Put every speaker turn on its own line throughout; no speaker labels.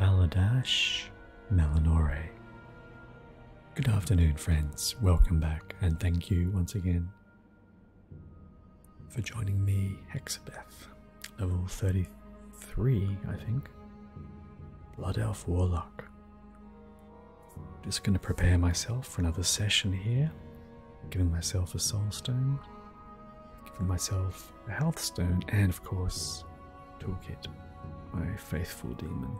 Baladash Malinore. Good afternoon, friends. Welcome back, and thank you once again for joining me, Hexabeth, level 33, I think. Blood Elf Warlock. Just going to prepare myself for another session here, giving myself a soulstone, giving myself a health stone, and of course, toolkit, my faithful demon.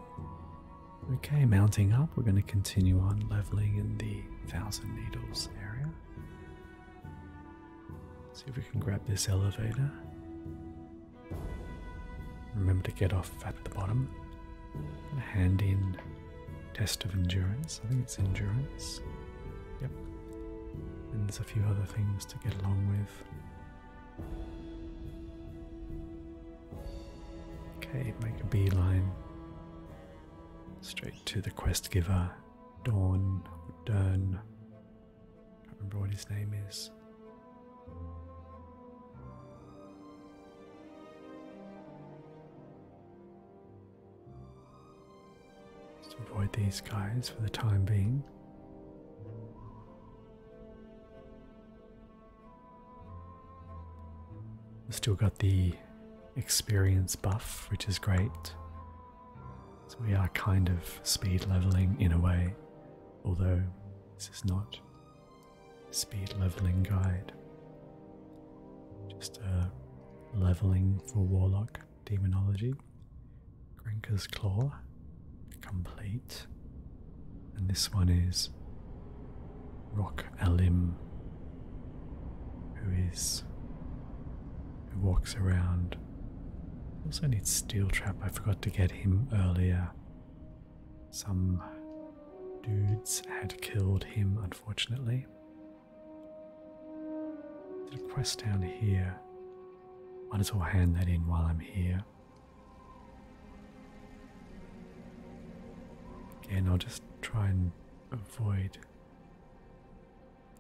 Okay, mounting up, we're going to continue on leveling in the Thousand Needles area. See if we can grab this elevator. Remember to get off at the bottom. Hand in test of endurance. I think it's endurance. Yep. And there's a few other things to get along with. Okay, make a beeline straight to the quest giver, Dawn or Dern. remember what his name is. Just avoid these guys for the time being. Still got the experience buff, which is great. So we are kind of speed leveling in a way, although this is not a speed leveling guide. Just a leveling for warlock. Demonology, Grenka's Claw, Complete, and this one is Rock Alim, who is who walks around. Also need Steel Trap. I forgot to get him earlier. Some dudes had killed him, unfortunately. There's a quest down here. Might as well hand that in while I'm here. Again, I'll just try and avoid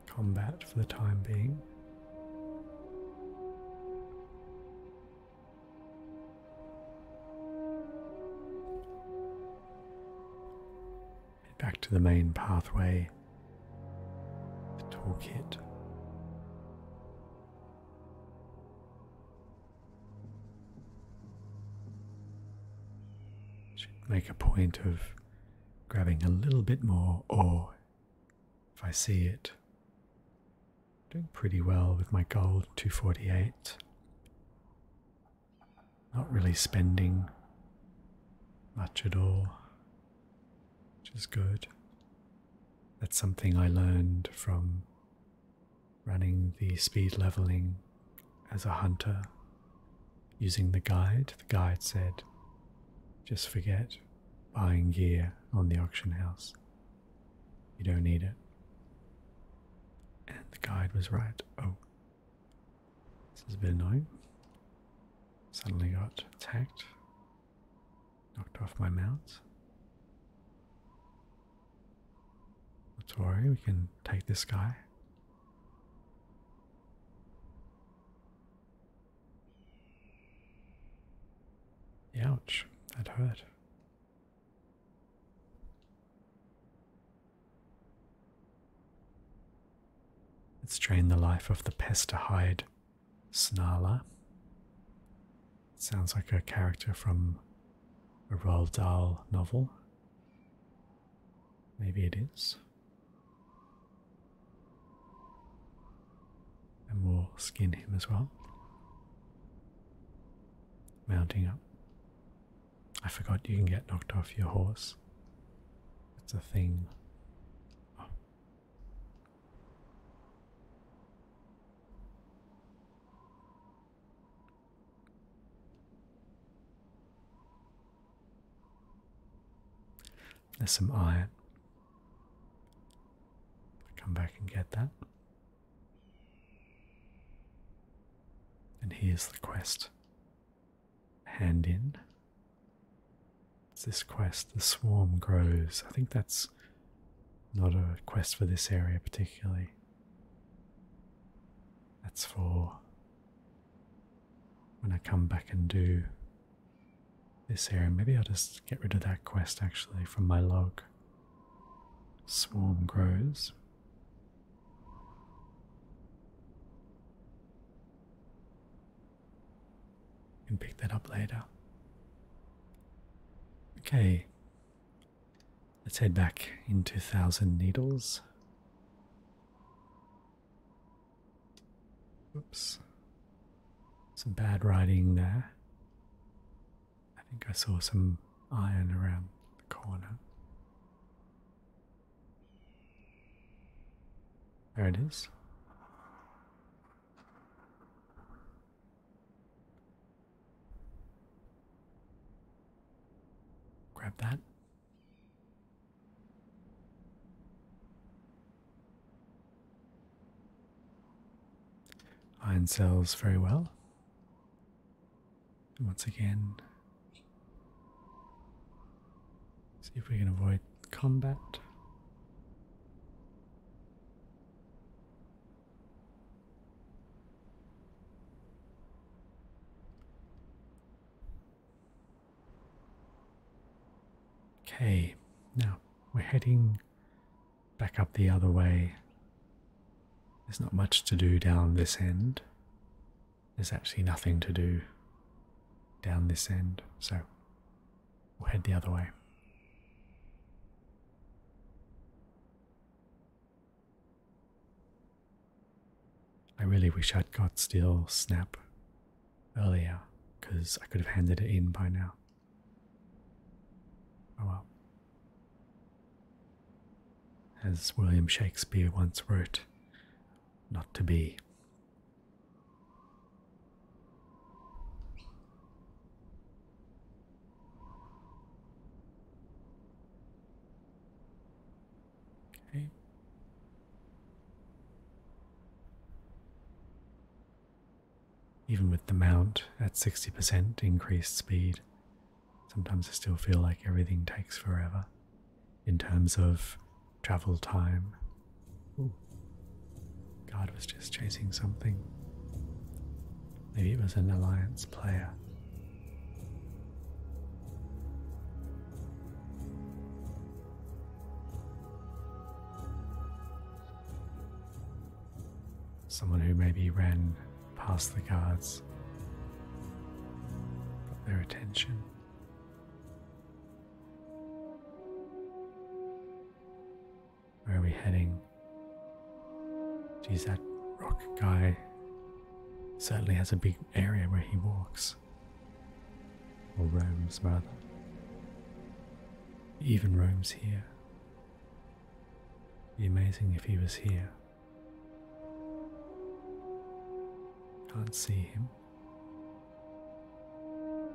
combat for the time being. Back to the main pathway the toolkit. Should make a point of grabbing a little bit more Or, if I see it. Doing pretty well with my gold 248. Not really spending much at all which is good. That's something I learned from running the speed leveling as a hunter using the guide. The guide said, just forget buying gear on the auction house. You don't need it. And the guide was right. Oh, this is a bit annoying. Suddenly got attacked. Knocked off my mount. Let's worry, we can take this guy. Ouch, that hurt. Let's drain the life of the pest to hide Snarla. sounds like a character from a Roald novel. Maybe it is. And we'll skin him as well. Mounting up. I forgot you can get knocked off your horse. It's a thing. There's some iron. come back and get that. And here's the quest. Hand in. It's this quest, The Swarm Grows. I think that's not a quest for this area particularly. That's for when I come back and do this area. Maybe I'll just get rid of that quest actually from my log. Swarm Grows can pick that up later. Okay, let's head back into Thousand Needles. Oops, some bad writing there. I think I saw some iron around the corner. There it is. Grab that. Iron sells very well. once again, see if we can avoid combat. Okay, now we're heading back up the other way. There's not much to do down this end. There's actually nothing to do down this end, so We'll head the other way. I really wish I'd got Steel Snap earlier, because I could have handed it in by now. Oh well. As William Shakespeare once wrote, not to be. Okay. Even with the mount at 60% increased speed, sometimes I still feel like everything takes forever in terms of travel time Ooh. God was just chasing something. Maybe it was an alliance player. Someone who maybe ran past the guards, got their attention. Where are we heading? Geez, that rock guy certainly has a big area where he walks. Or roams, rather. even roams here. It'd be amazing if he was here. Can't see him.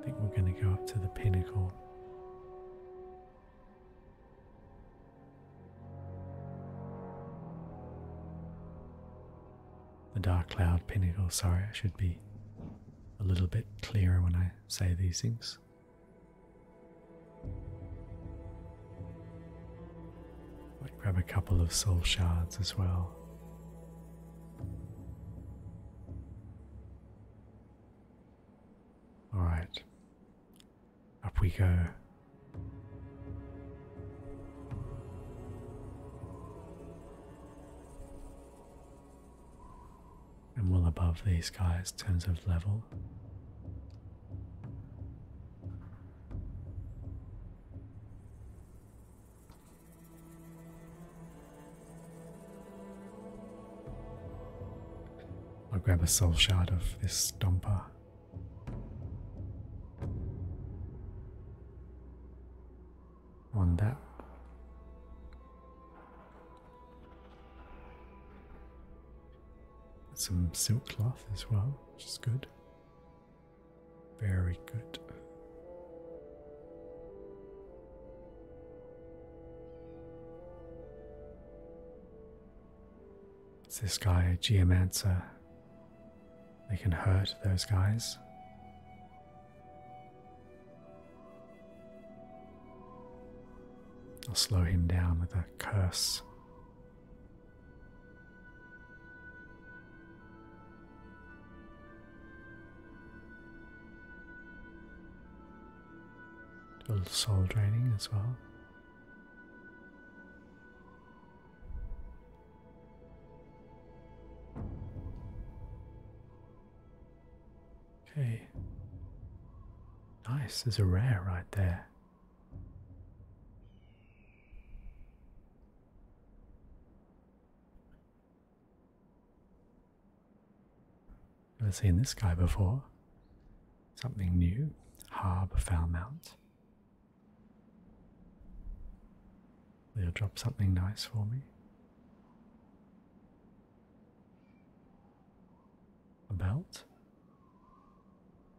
I think we're going to go up to the pinnacle. The dark cloud pinnacle, sorry, I should be a little bit clearer when I say these things. Might grab a couple of soul shards as well. All right, up we go. And well above these guys in of level. I'll grab a soul shard of this stomper. One that. Some silk cloth as well, which is good. Very good. It's this guy, Geomancer. They can hurt those guys. I'll slow him down with a curse a little soul draining as well. Okay. Nice, there's a rare right there. Never seen this guy before. Something new. Harb Falmount. They'll drop something nice for me. A belt?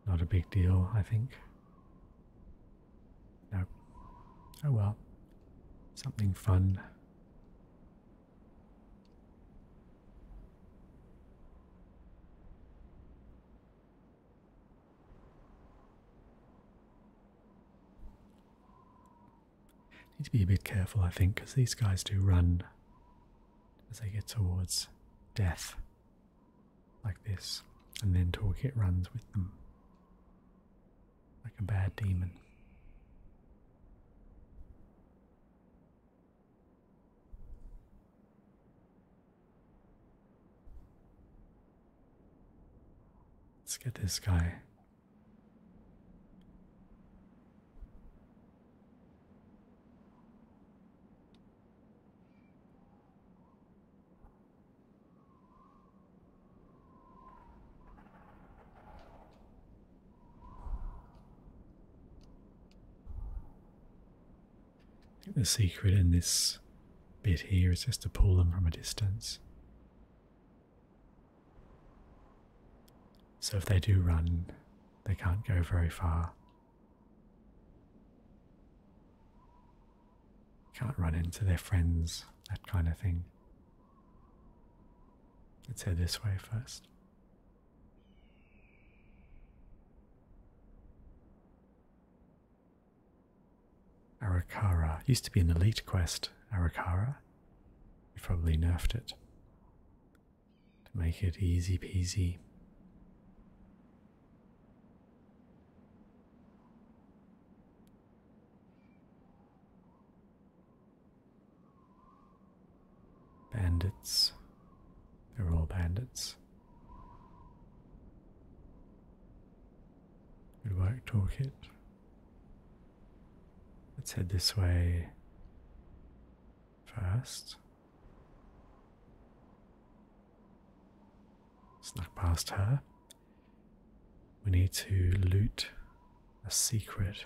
Not a big deal, I think. No. Oh well. Something fun. Need to be a bit careful, I think, because these guys do run as they get towards death, like this, and then it runs with them, like a bad demon. Let's get this guy. The secret in this bit here is just to pull them from a distance. So if they do run, they can't go very far. Can't run into their friends, that kind of thing. Let's head this way first. Arakara. Used to be an elite quest, Arakara. We probably nerfed it to make it easy peasy. Bandits. They're all bandits. Good work, toolkit. Let's head this way first. Snuck past her. We need to loot a secret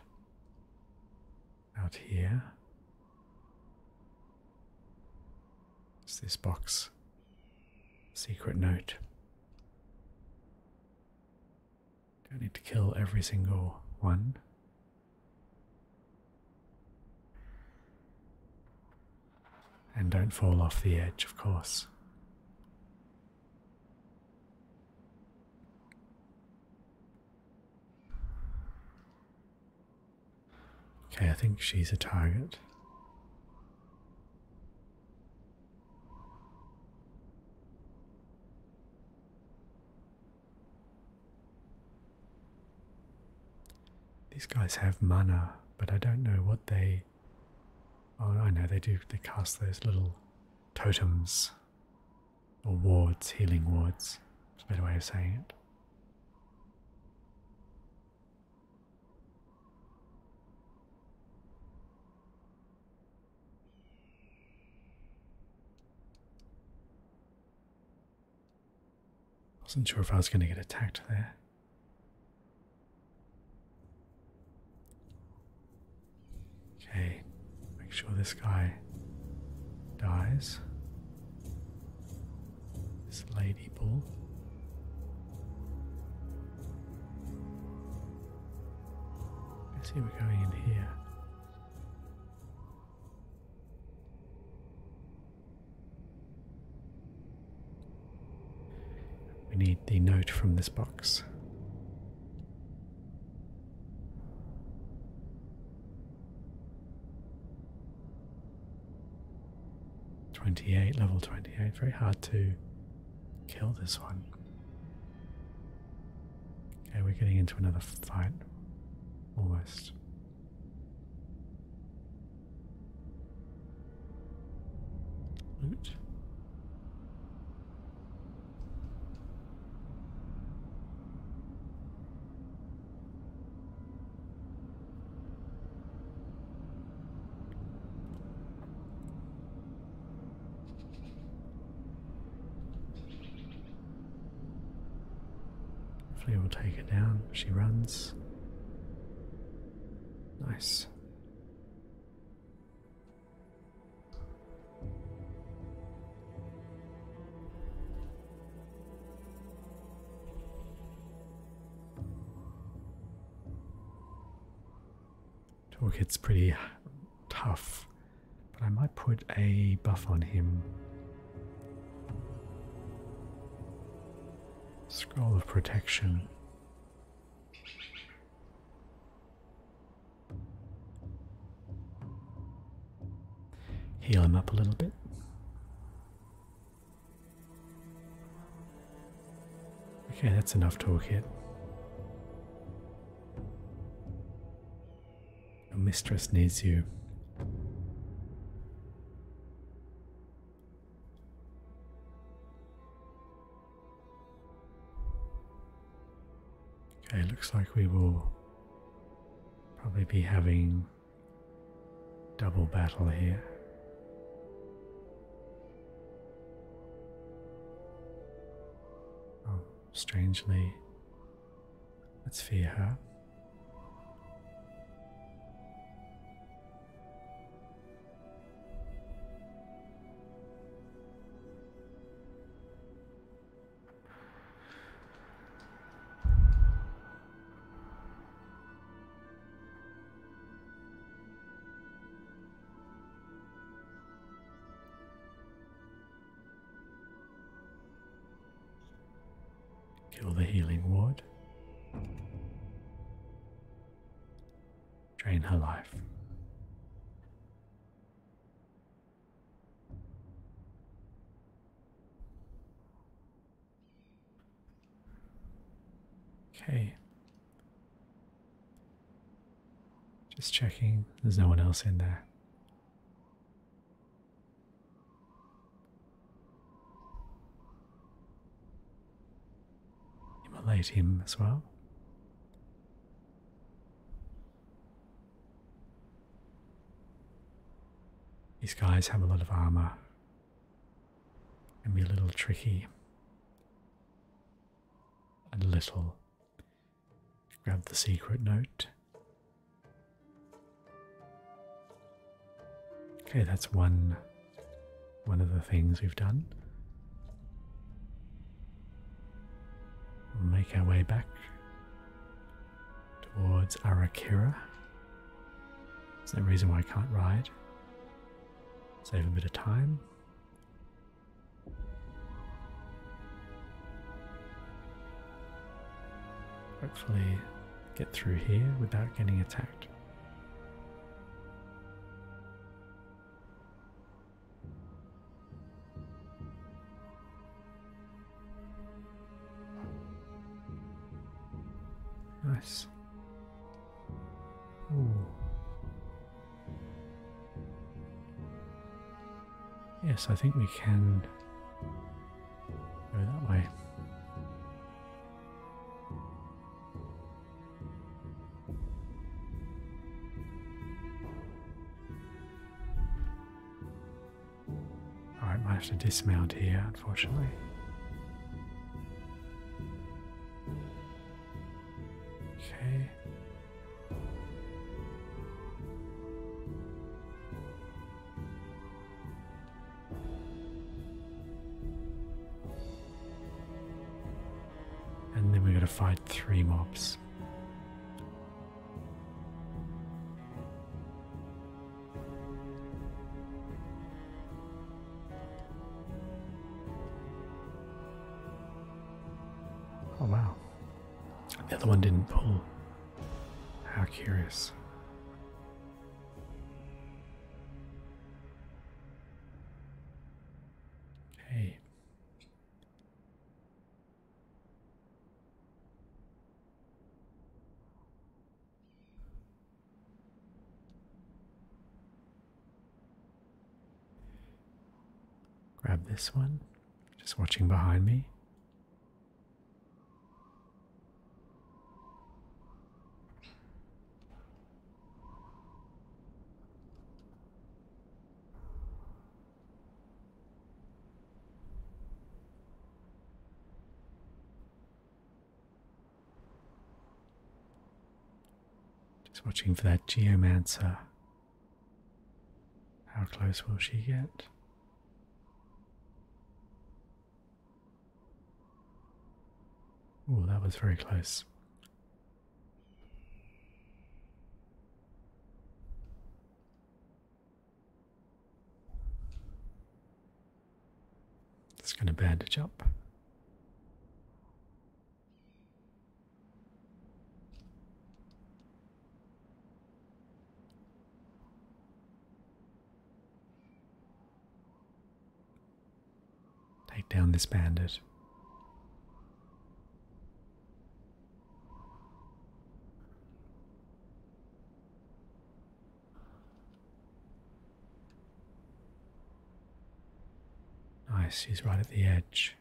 out here. it's this box? Secret note. Don't need to kill every single one. And don't fall off the edge, of course. Okay, I think she's a target. These guys have mana, but I don't know what they. Oh, I know they do. They cast those little totems or wards, healing wards. It's a better way of saying it. Wasn't sure if I was going to get attacked there. Okay, Make sure this guy dies. This lady bull. Let's see, we're going in here. We need the note from this box. 28, level 28. Very hard to kill this one. Okay, we're getting into another fight. Almost. Loot. Hopefully we'll take her down. She runs. Nice. Toolkit's pretty tough, but I might put a buff on him. Scroll of Protection. Heal him up a little bit. Okay, that's enough toolkit. Your mistress needs you. Okay, looks like we will probably be having Double battle here. Oh, strangely, let's fear her. Kill the healing ward. Drain her life. Okay. Just checking, there's no one else in there. Immolate him as well. These guys have a lot of armor. Can be a little tricky. A little. Grab the secret note. Okay, that's one one of the things we've done. We'll make our way back towards Arakira. There's no reason why I can't ride. Save a bit of time. Hopefully get through here without getting attacked. Nice. Yes, I think we can go that way. Alright, might have to dismount here, unfortunately. Okay. And then we're to fight three mobs. Oh, wow. The other one didn't pull. How curious. Okay. Grab this one, just watching behind me. Just watching for that geomancer. How close will she get? Oh, that was very close. It's going to bandage up. Take down this bandage. Nice, she's right at the edge.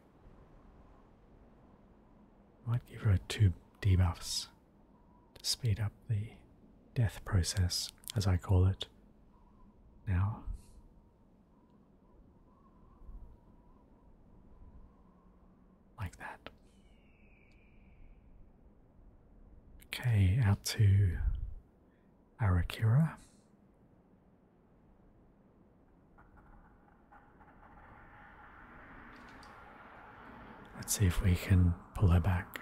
Might give her two debuffs to speed up the death process, as I call it now. Like that. Okay, out to Arakira. Let's see if we can pull her back.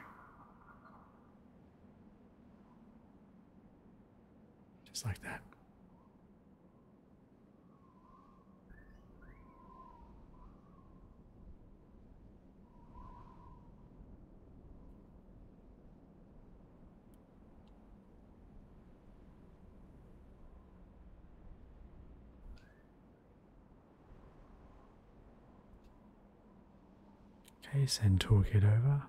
Just like that. Okay, send talk it over.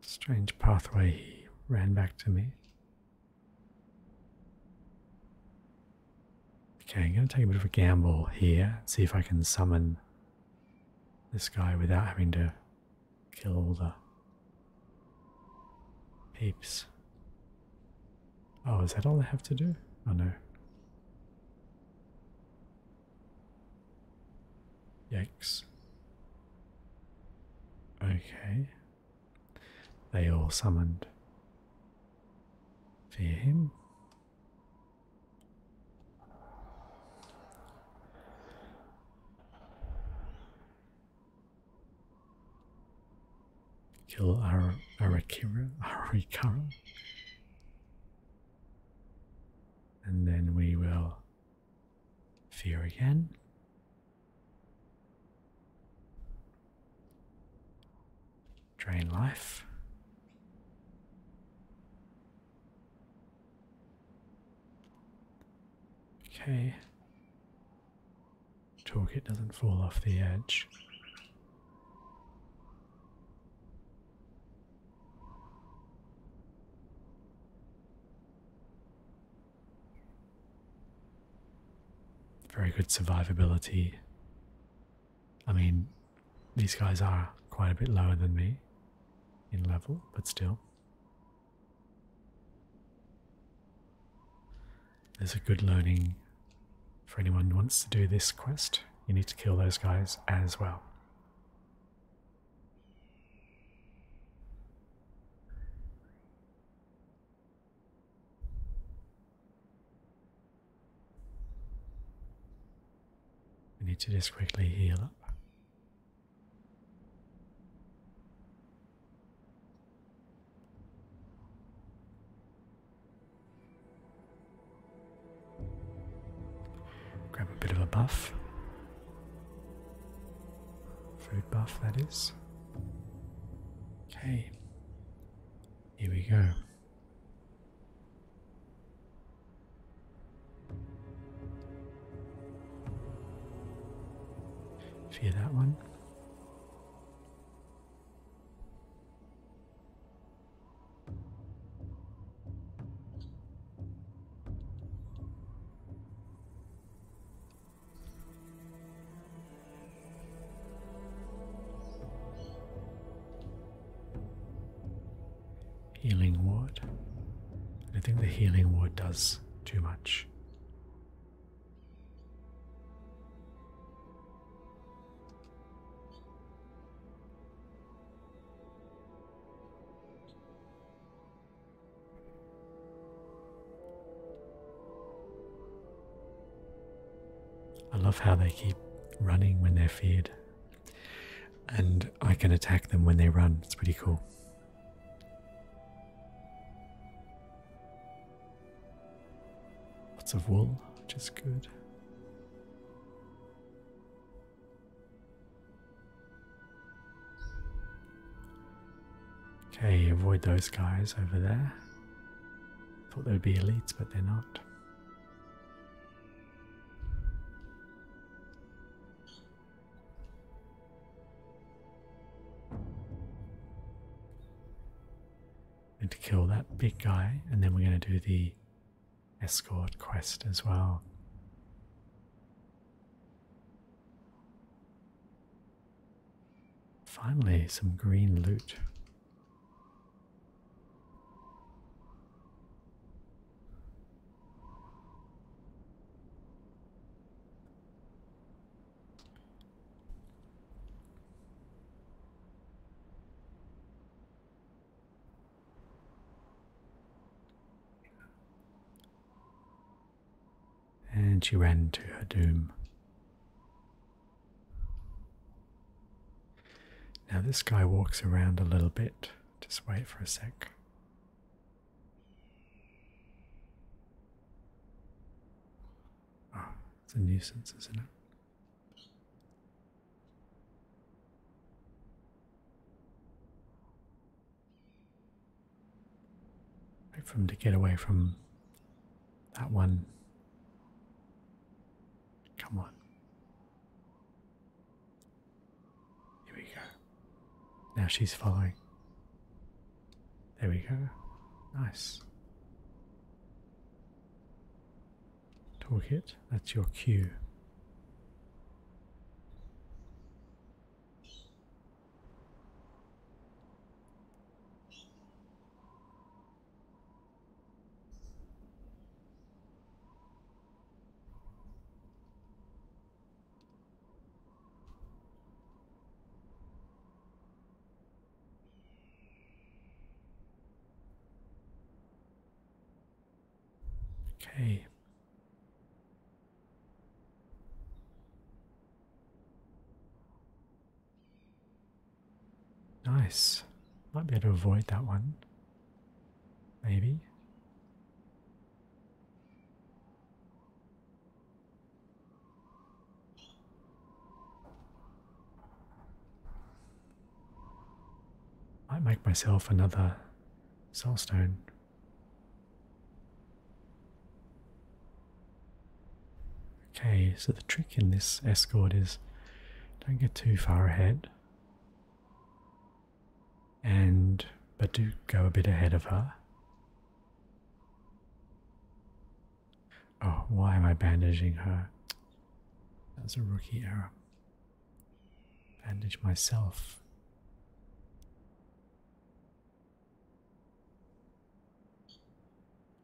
Strange pathway he ran back to me. Okay, I'm going to take a bit of a gamble here see if I can summon this guy without having to kill all the peeps. Oh, is that all I have to do? Oh no. Yikes. Okay. They all summoned. Fear him. Kill Ar Arakira, Arikara. And then we will fear again. Drain life. Okay. Talk. It doesn't fall off the edge. Very good survivability. I mean, these guys are quite a bit lower than me in level, but still. There's a good learning for anyone who wants to do this quest. You need to kill those guys as well. We need to just quickly heal up. Grab a bit of a buff. Food buff, that is. Okay, here we go. Fear that one. Healing ward. I think the healing ward does too much. I love how they keep running when they're feared, and I can attack them when they run. It's pretty cool. Lots of wool, which is good. Okay, avoid those guys over there. Thought they'd be elites, but they're not. And to kill that big guy, and then we're going to do the escort quest as well. Finally, some green loot. And she ran to her doom. Now, this guy walks around a little bit. Just wait for a sec. Oh, it's a nuisance, isn't it? for him to get away from that one. Come on. Here we go. Now she's following. There we go. Nice. Toolkit, that's your cue. Okay. Nice. Might be able to avoid that one. Maybe. I make myself another soulstone. Okay, so the trick in this escort is don't get too far ahead and but do go a bit ahead of her Oh, why am I bandaging her? That's a rookie error. Bandage myself.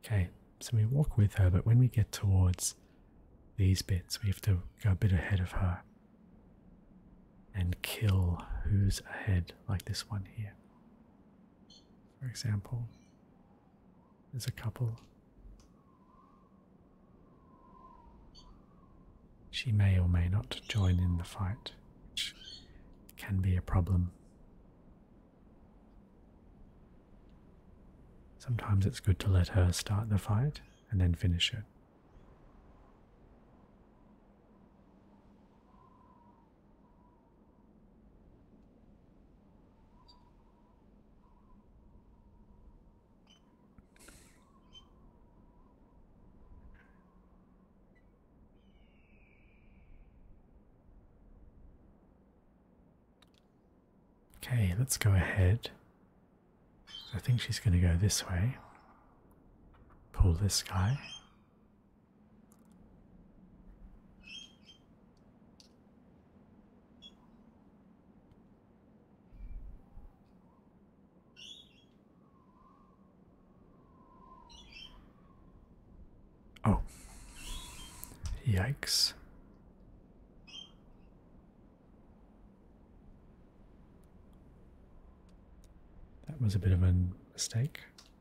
Okay, so we walk with her, but when we get towards these bits, we have to go a bit ahead of her and kill who's ahead, like this one here. For example, there's a couple. She may or may not join in the fight, which can be a problem. Sometimes it's good to let her start the fight and then finish it. Okay, let's go ahead. I think she's going to go this way. Pull this guy. Oh, yikes. That was a bit of a mistake.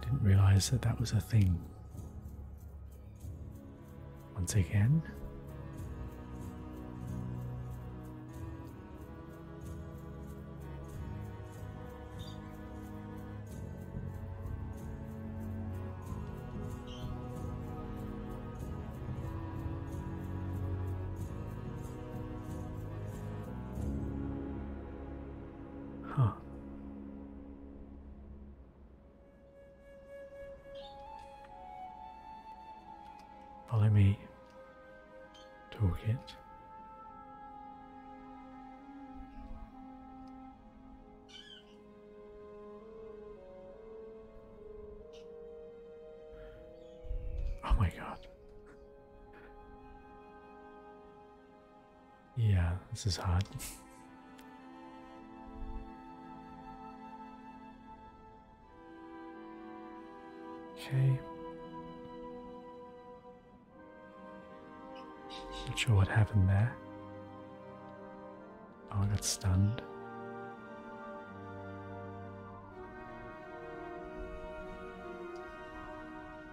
I didn't realize that that was a thing. Once again. Huh. Follow me. Talk it. Oh my god. Yeah, this is hard. okay. Not sure what happened there. Oh, I got stunned.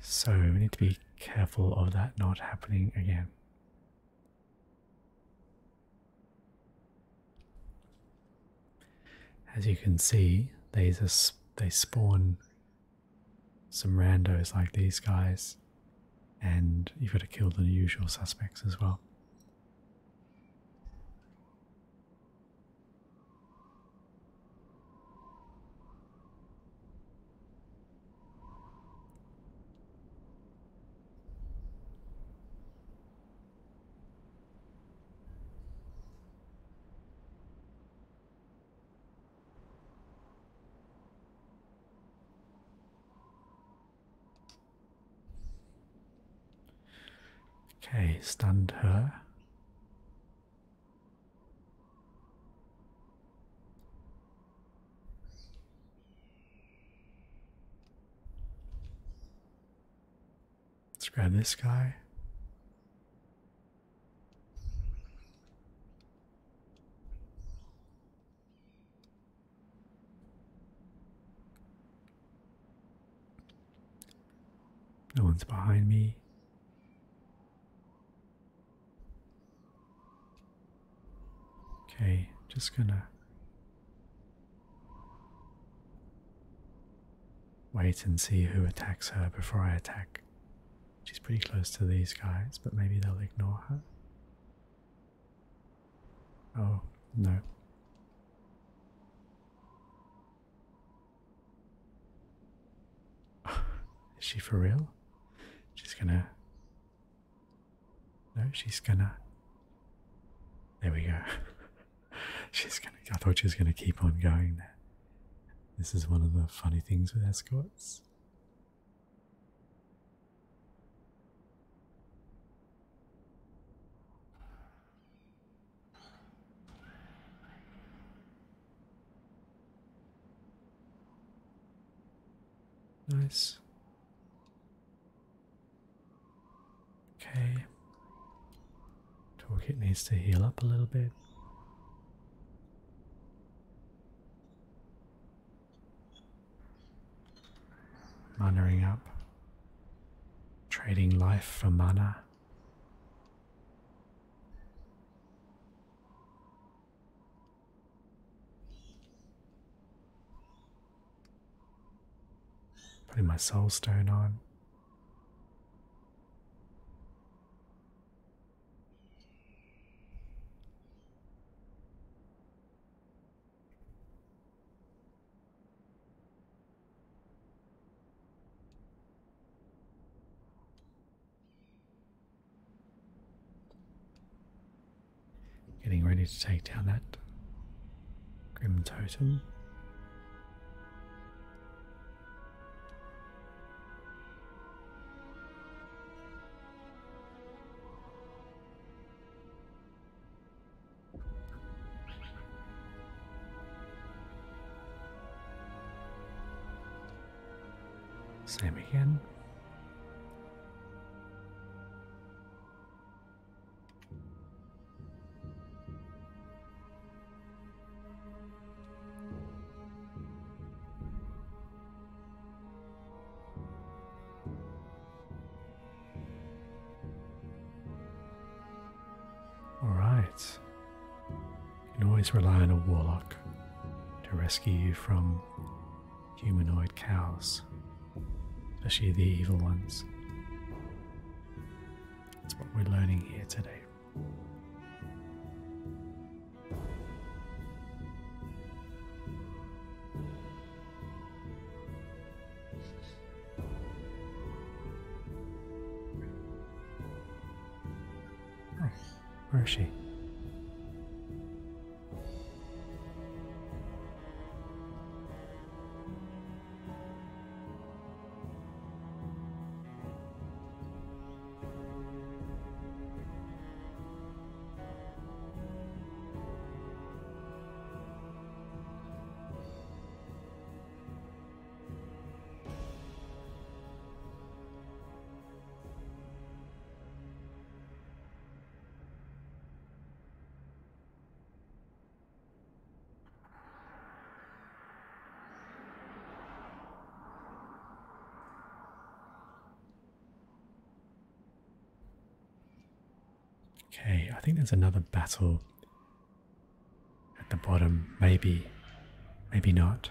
so we need to be careful of that not happening again. As you can see, they, just, they spawn some randos like these guys, and you've got to kill the usual suspects as well. Okay, stand her. Let's grab this guy. No one's behind me. Okay, just gonna wait and see who attacks her before I attack. She's pretty close to these guys, but maybe they'll ignore her. Oh, no. Is she for real? She's gonna. No, she's gonna. There we go. she's gonna. I thought she was gonna keep on going This is one of the funny things with escorts. Nice. Okay. Toolkit needs to heal up a little bit. Mannering up. Trading life for mana. Putting my soul stone on. Getting ready to take down that grim totem. Same again. All right. You can always rely on a warlock to rescue you from humanoid cows, especially the evil ones. That's what we're learning here today where is she? Okay, I think there's another battle at the bottom. Maybe, maybe not.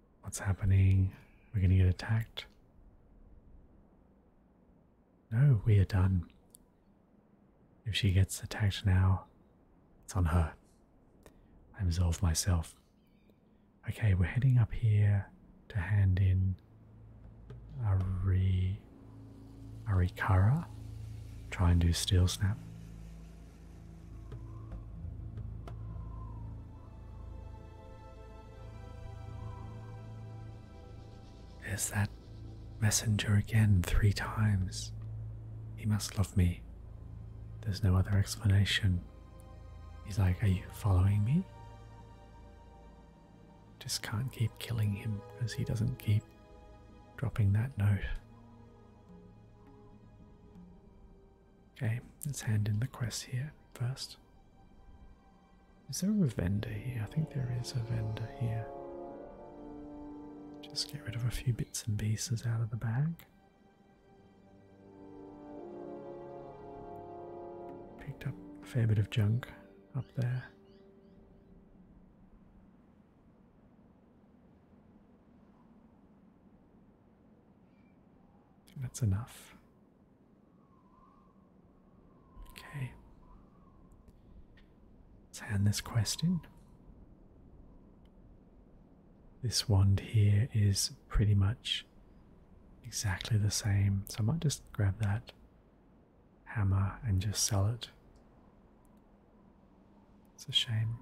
What's happening? We're going to get attacked. No, we are done. If she gets attacked now, it's on her. I absolve myself. Okay, we're heading up here to hand in Ari, Arikara. Try and do Steel Snap. There's that messenger again three times. He must love me. There's no other explanation. He's like, Are you following me? Just can't keep killing him because he doesn't keep dropping that note. Okay, let's hand in the quest here first. Is there a vendor here? I think there is a vendor here. Just get rid of a few bits and pieces out of the bag. Picked up a fair bit of junk up there. That's enough. Okay. Let's hand this question. This wand here is pretty much exactly the same, so I might just grab that hammer and just sell it. It's a shame.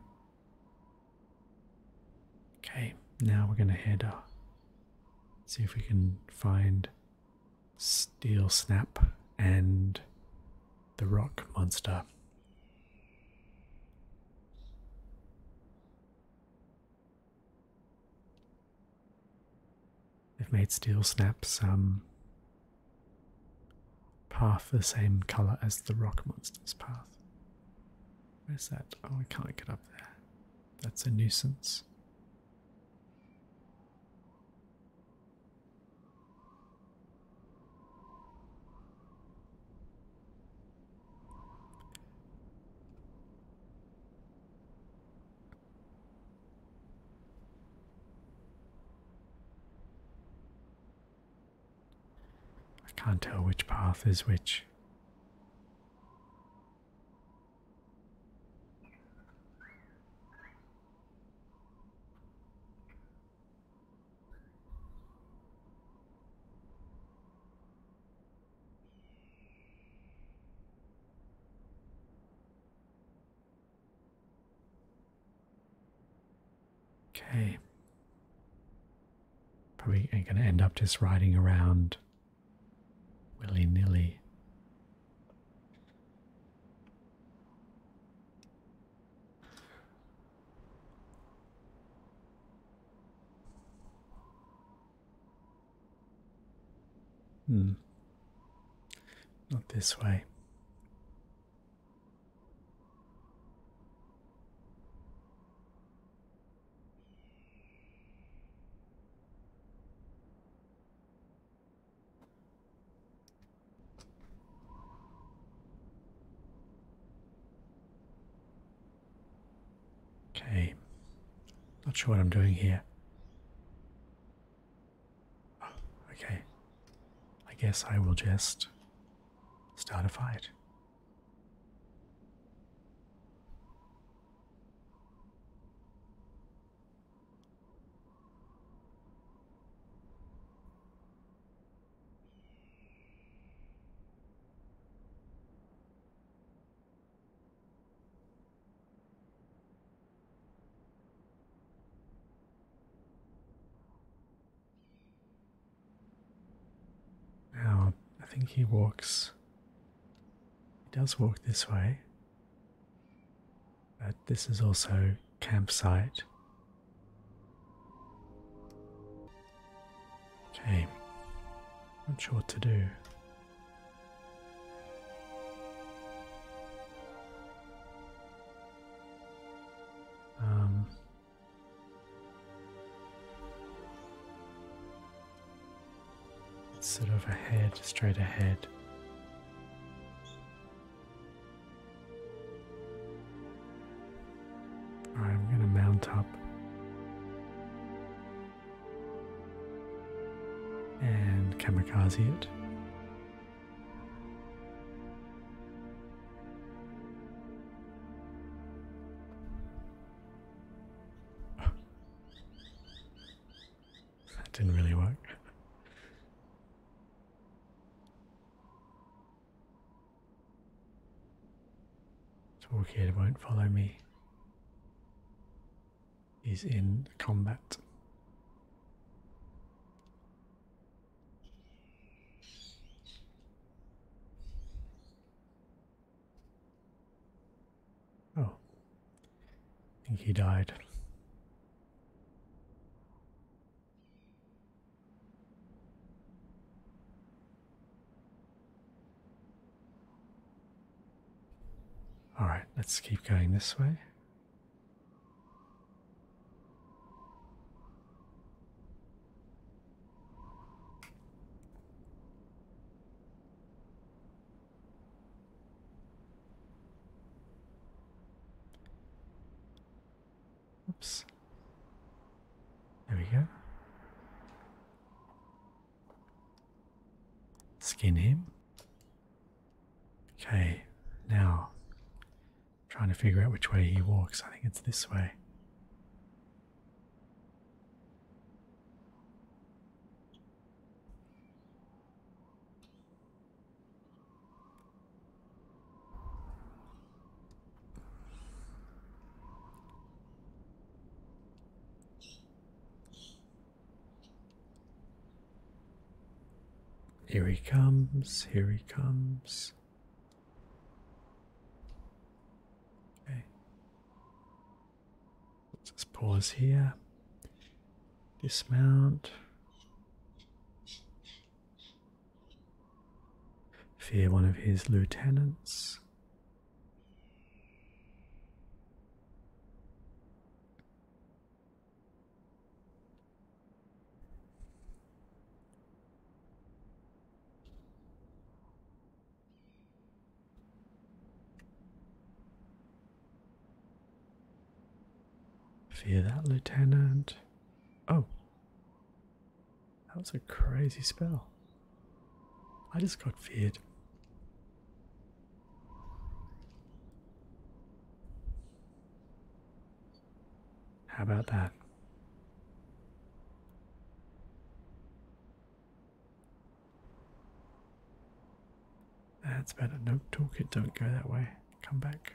Okay, now we're going to head up. See if we can find Steel Snap and the Rock Monster. They've made Steel Snap's path the same color as the Rock Monster's path. Where's that? Oh, I can't get up there. That's a nuisance. I can't tell which path is which. Okay. Probably gonna end up just riding around willy nilly. Hmm. Not this way. Okay, not sure what I'm doing here. okay, I guess I will just start a fight. Now, I think he walks it does walk this way, but this is also campsite. Okay, not sure what to do. Um, it's sort of ahead, straight ahead. I'm going to mount up. And kamikaze it. That didn't really work. Torquid won't follow me. He's in combat. Oh. I think he died. Alright, let's keep going this way. Oops. There we go. Skin him. Okay, now trying to figure out which way he walks. I think it's this way. Here he comes, here he comes. Okay. Let's just pause here. Dismount. Fear one of his lieutenants. Fear that, Lieutenant. Oh. That was a crazy spell. I just got feared. How about that? That's better. No, it. don't go that way. Come back.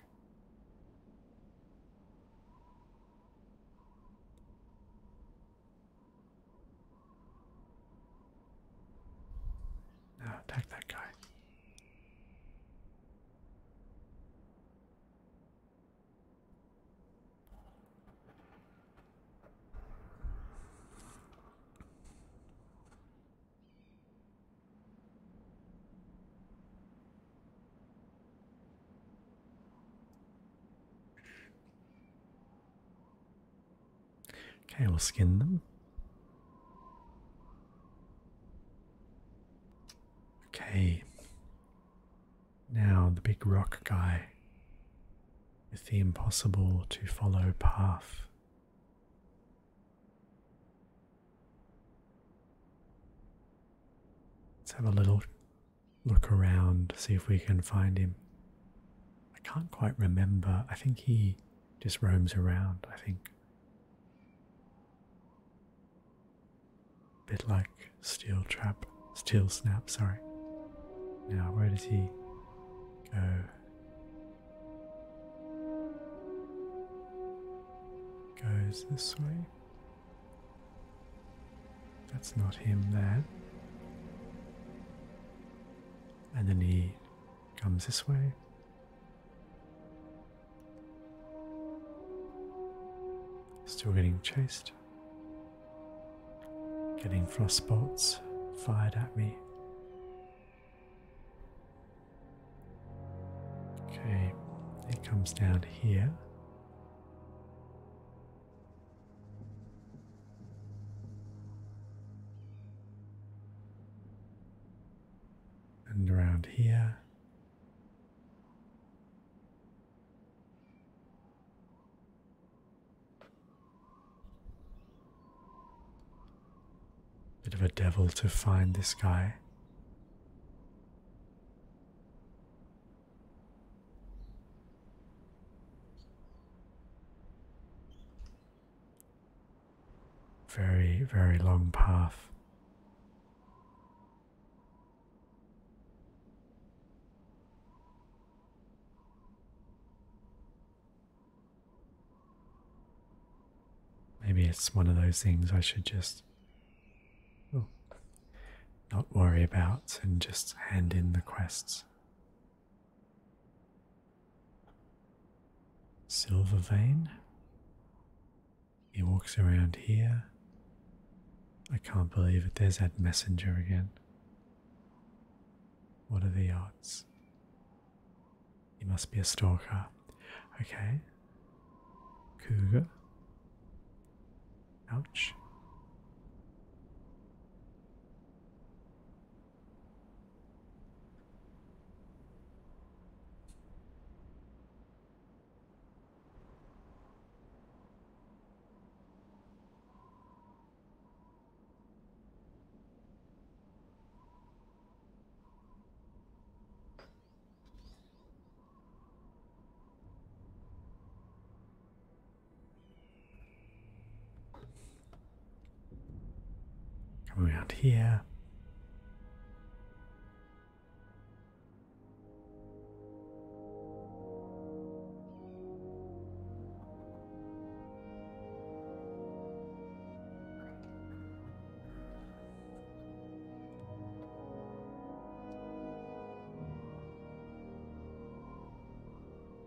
Now attack that guy. Okay, we'll skin them. Okay. Now the big rock guy with the impossible to follow path. Let's have a little look around, see if we can find him. I can't quite remember. I think he just roams around, I think. bit like Steel Trap, Steel Snap, sorry. Now, where does he go? Goes this way. That's not him there. And then he comes this way. Still getting chased getting frostbites, fired at me. Okay, it comes down here. And around here. Bit of a devil to find this guy. Very, very long path. Maybe it's one of those things I should just oh. not worry about and just hand in the quests. Silver vein. He walks around here. I can't believe it. There's that messenger again. What are the odds? He must be a stalker. Okay. Cougar. Ouch. Come around here.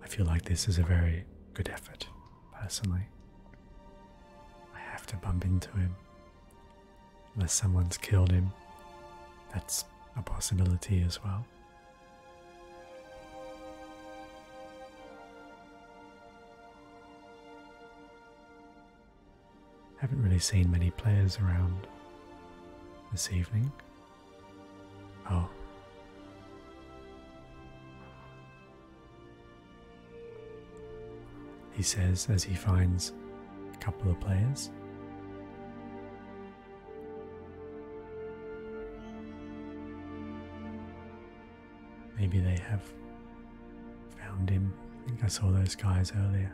I feel like this is a very good effort, personally. I have to bump into him. Unless someone's killed him. That's a possibility as well. I Haven't really seen many players around this evening. Oh. He says as he finds a couple of players. Maybe they have found him. I think I saw those guys earlier.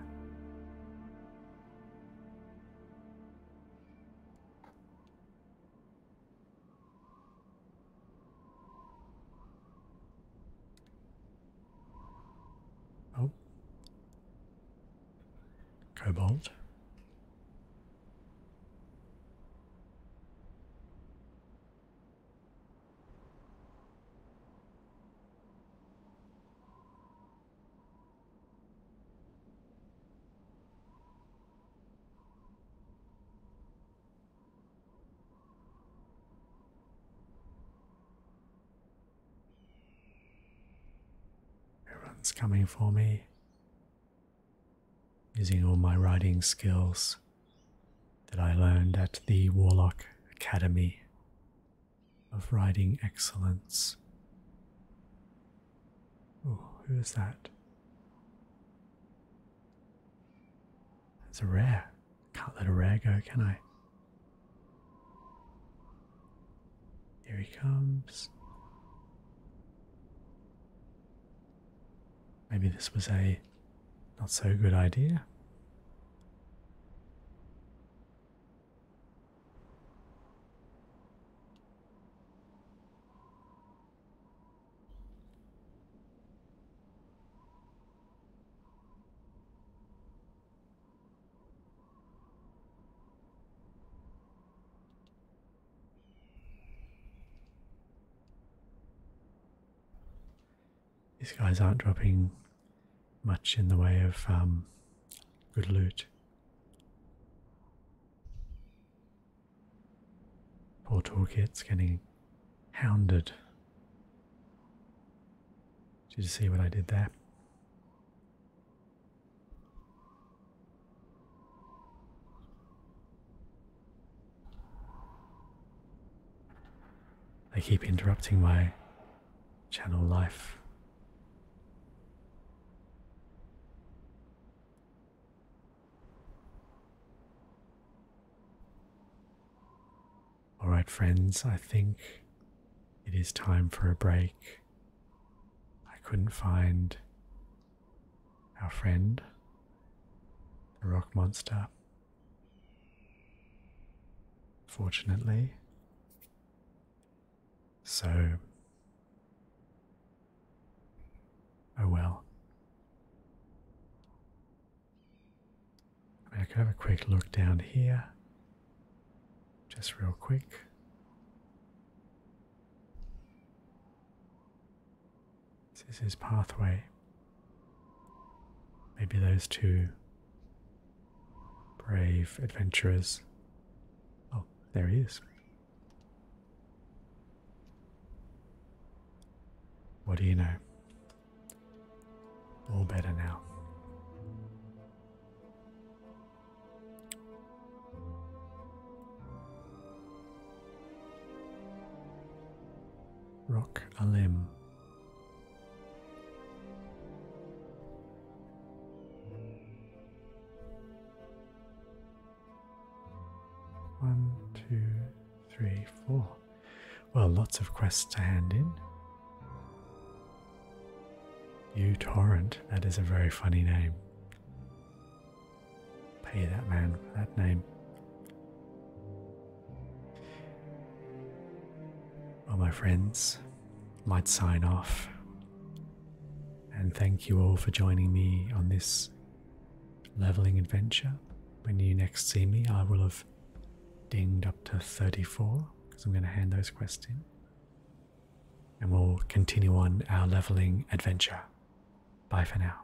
Oh, Cobalt. Everyone's coming for me using all my writing skills that I learned at the Warlock Academy of Writing Excellence. Oh, who is that? That's a rare. Can't let a rare go, can I? Here he comes. Maybe this was a not so good idea. These guys aren't dropping much in the way of um, good loot. Poor toolkit's getting hounded. Did you see what I did there? They keep interrupting my channel life. Alright, friends, I think it is time for a break. I couldn't find our friend, the rock monster. Fortunately, so oh well. I, mean, I can have a quick look down here, just real quick. This is his pathway. Maybe those two brave adventurers. Oh, there he is. What do you know? All better now rock a limb. One, two, three, four. Well, lots of quests to hand in. U Torrent, that is a very funny name. Pay that man for that name. All my friends, might sign off. And thank you all for joining me on this leveling adventure. When you next see me, I will have dinged up to 34 because I'm going to hand those quests in. And we'll continue on our leveling adventure. Bye for now.